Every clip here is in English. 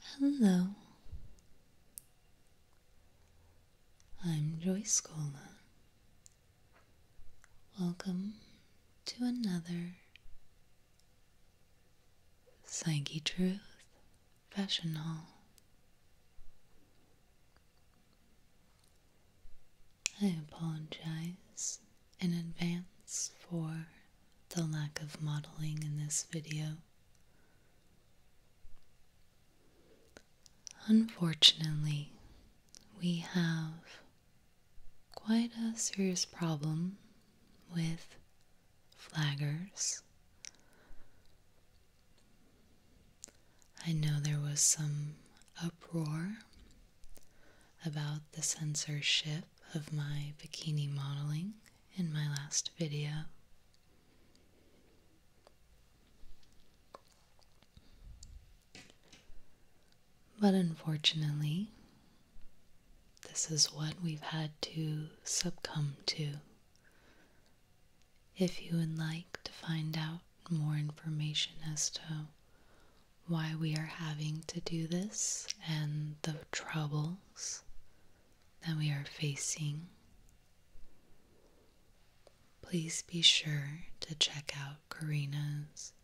Hello, I'm Joyce Scola. Welcome to another Psyche Truth Fashion Hall. I apologize in advance for the lack of modeling in this video. Unfortunately, we have quite a serious problem with flaggers I know there was some uproar about the censorship of my bikini modeling in my last video. But unfortunately, this is what we've had to succumb to if you would like to find out more information as to why we are having to do this and the troubles that we are facing, please be sure to check out Karina's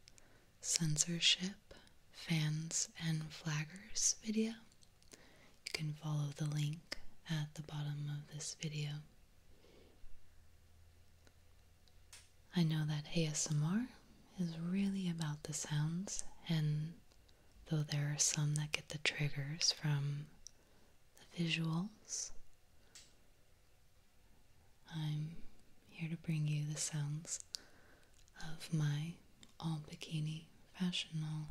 censorship, fans, and flaggers video. You can follow the link at the bottom of this video. I know that ASMR is really about the sounds, and though there are some that get the triggers from the visuals, I'm here to bring you the sounds of my all bikini fashion haul.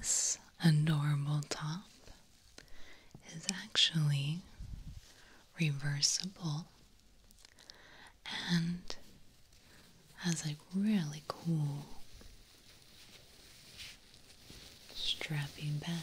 This adorable top is actually reversible and has a really cool strappy back.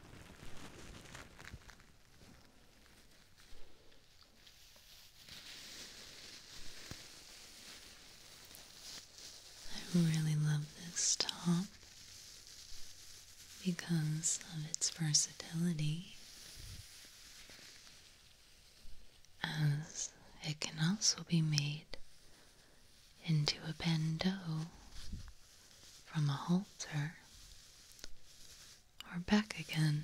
I really love this top because of its versatility, as it can also be made into a bandeau from a halter or back again.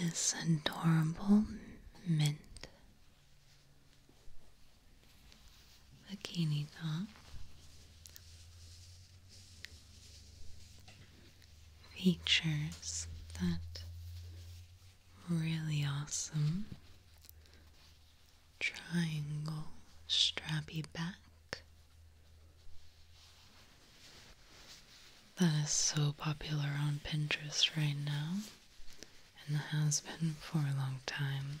This adorable mint bikini top, features that really awesome triangle strappy back that is so popular on Pinterest right now and has been for a long time.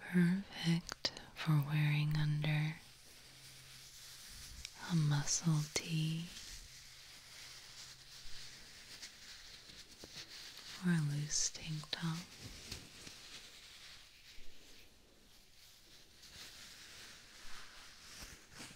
Perfect for wearing under a muscle tee or a loose tank top.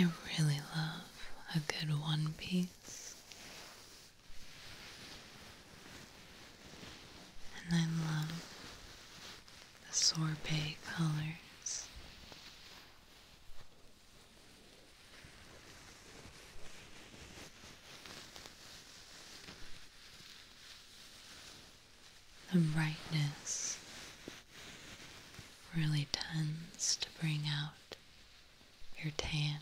I really love a good one piece. And I love the sorbet colors. The brightness really tends to bring out your tan.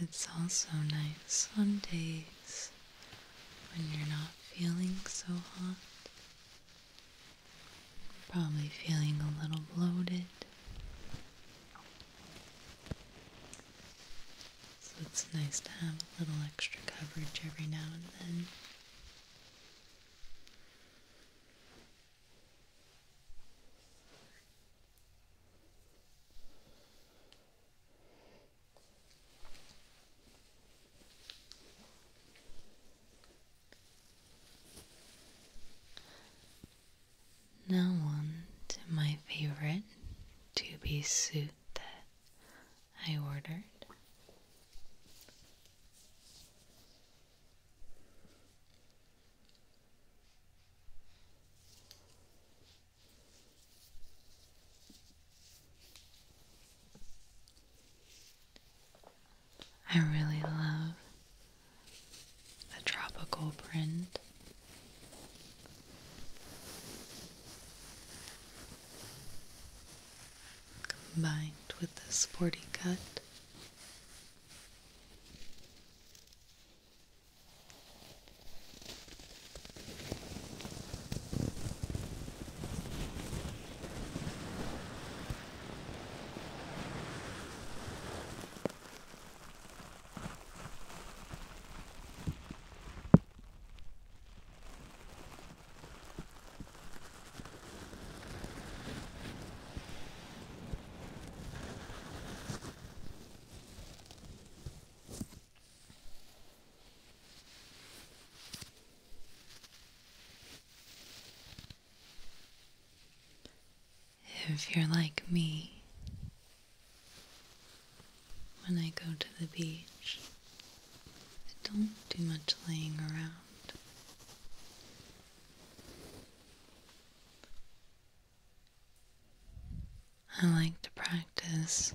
It's also nice on days when you're not feeling so hot. Probably feeling a little bloated. So it's nice to have a little extra coverage every now and then. Now on to my favorite to be soothed I ordered. I really love the tropical print Combined with the sporty cut, if you're like me, when I go to the beach, I don't do much laying around. I like to practice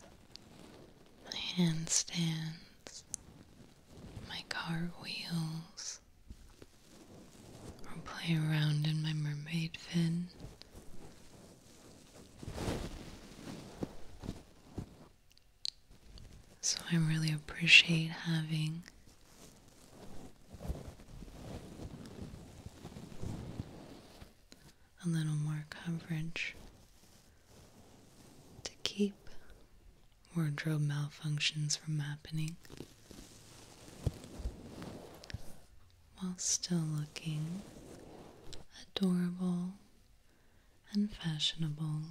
my handstands, my cartwheels, or play around in my mermaid fin so I really appreciate having a little more coverage to keep wardrobe malfunctions from happening while still looking adorable and fashionable.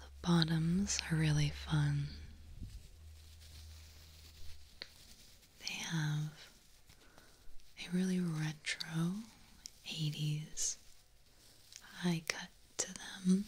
The bottoms are really fun. They have a really retro 80s high cut to them.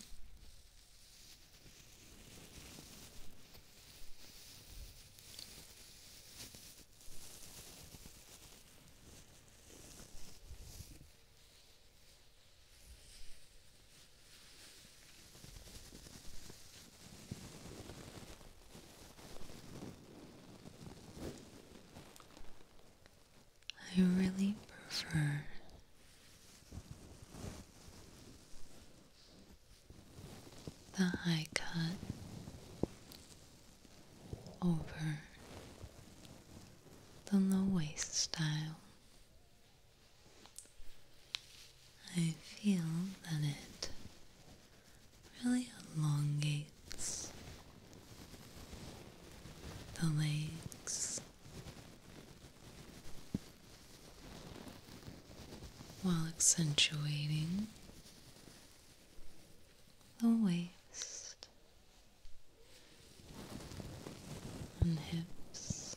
I really prefer the high cut over the low waist style. I feel that it really elongates the legs while accentuating the waist and hips.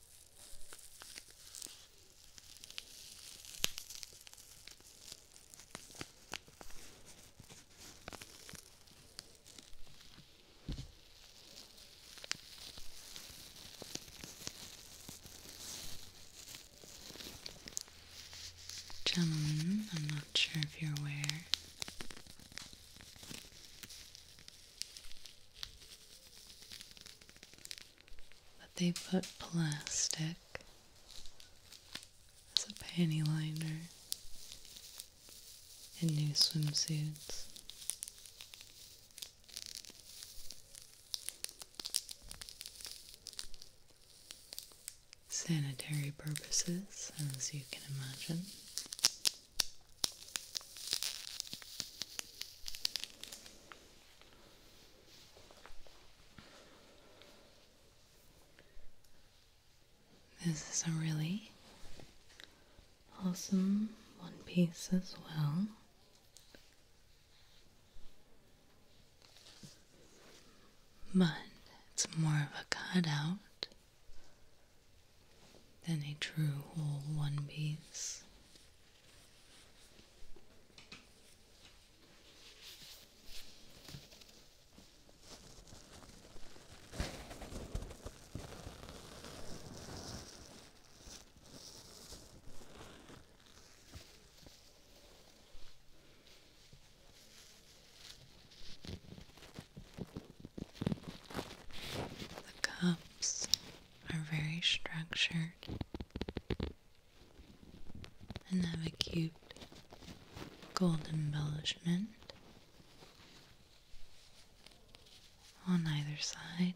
Gentlemen, I'm not sure if you're aware, but they put plastic as a panty liner in new swimsuits. Sanitary purposes, as you can imagine. This is a really awesome one piece as well. But it's more of a cutout than a true whole one piece. The cups are very structured and have a cute gold embellishment on either side.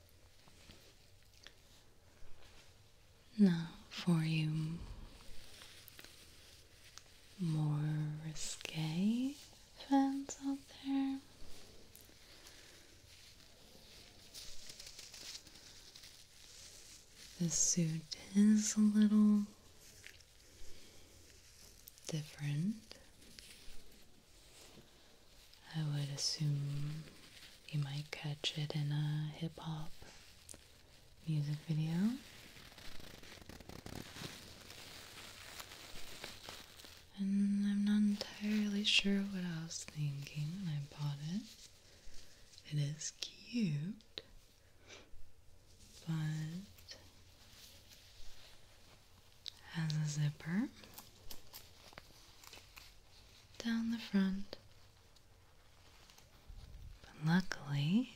Now, for you more risque fans out there, this suit is a little different. I would assume you might catch it in a hip hop music video. And I'm not entirely sure what I was thinking when I bought it. It is cute, but has a zipper down the front, but luckily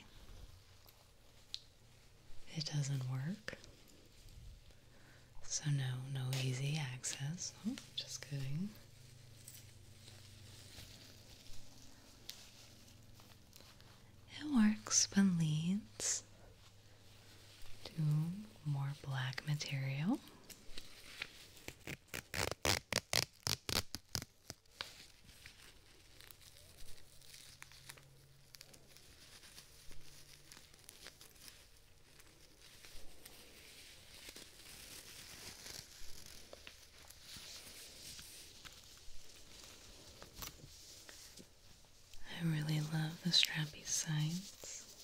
it doesn't work. So no, no easy access. Oh, just kidding. It works but leads do more black material. I really love the strappy sides.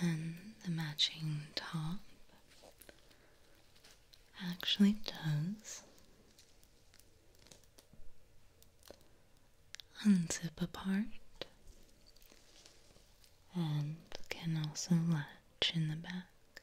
And the matching top actually does unzip apart and can also latch in the back.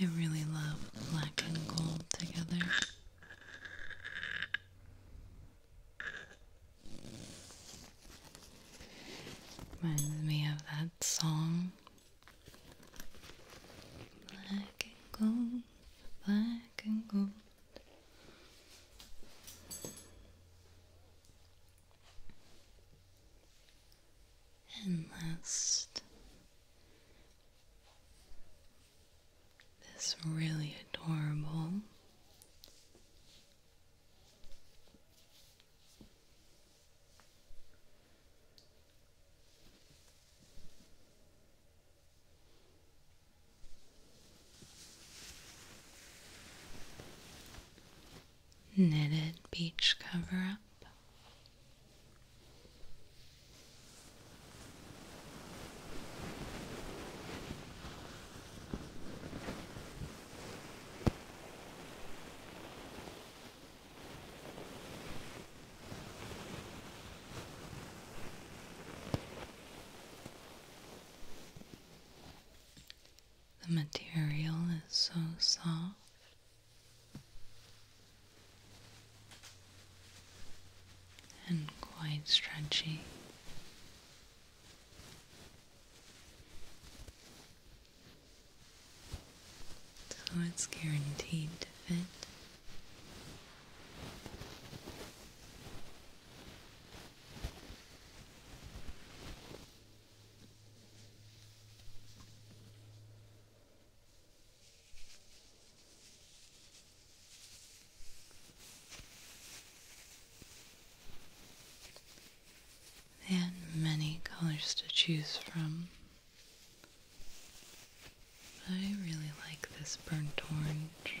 I really love black and gold together. Reminds me of that song. Black and gold, black and gold. And last, this really adorable knitted beach cover up. The material is so soft and quite stretchy. So it's guaranteed to fit. They had many colors to choose from. I really like this burnt orange.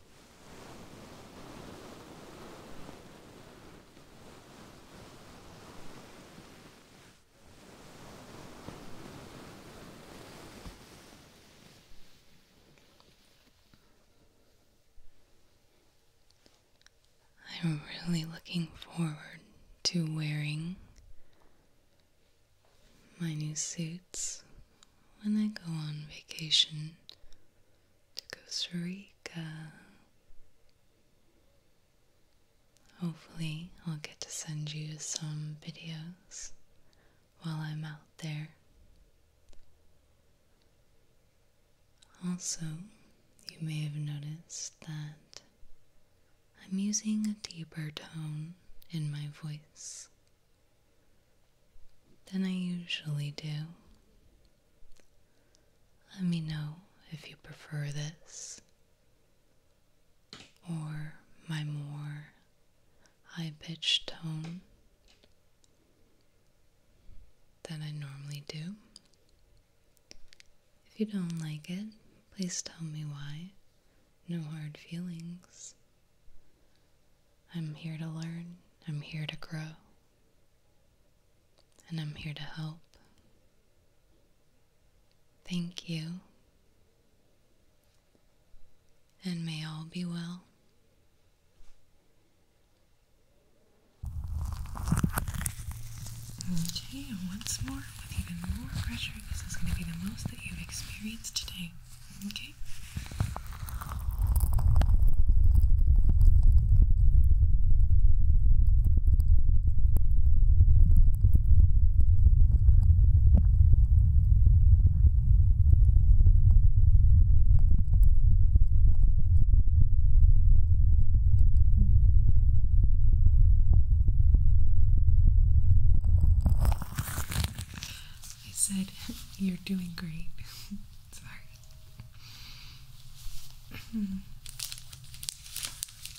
I'm really looking forward to wearing my new suits when I go on vacation to Costa Rica. Hopefully, I'll get to send you some videos while I'm out there. Also, you may have noticed that I'm using a deeper tone in my voice than I usually do. Let me know if you prefer this or my more high pitched tone than I normally do. If you don't like it, please tell me why. No hard feelings. I'm here to learn, I'm here to grow and I'm here to help. Thank you, and may all be well. and once more, with even more pressure, this is going to be the most that you've experienced today. Okay? I said, You're doing great. Sorry. Hmm.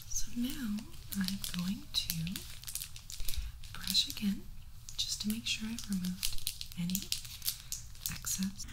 so now I'm going to brush again just to make sure I've removed any excess.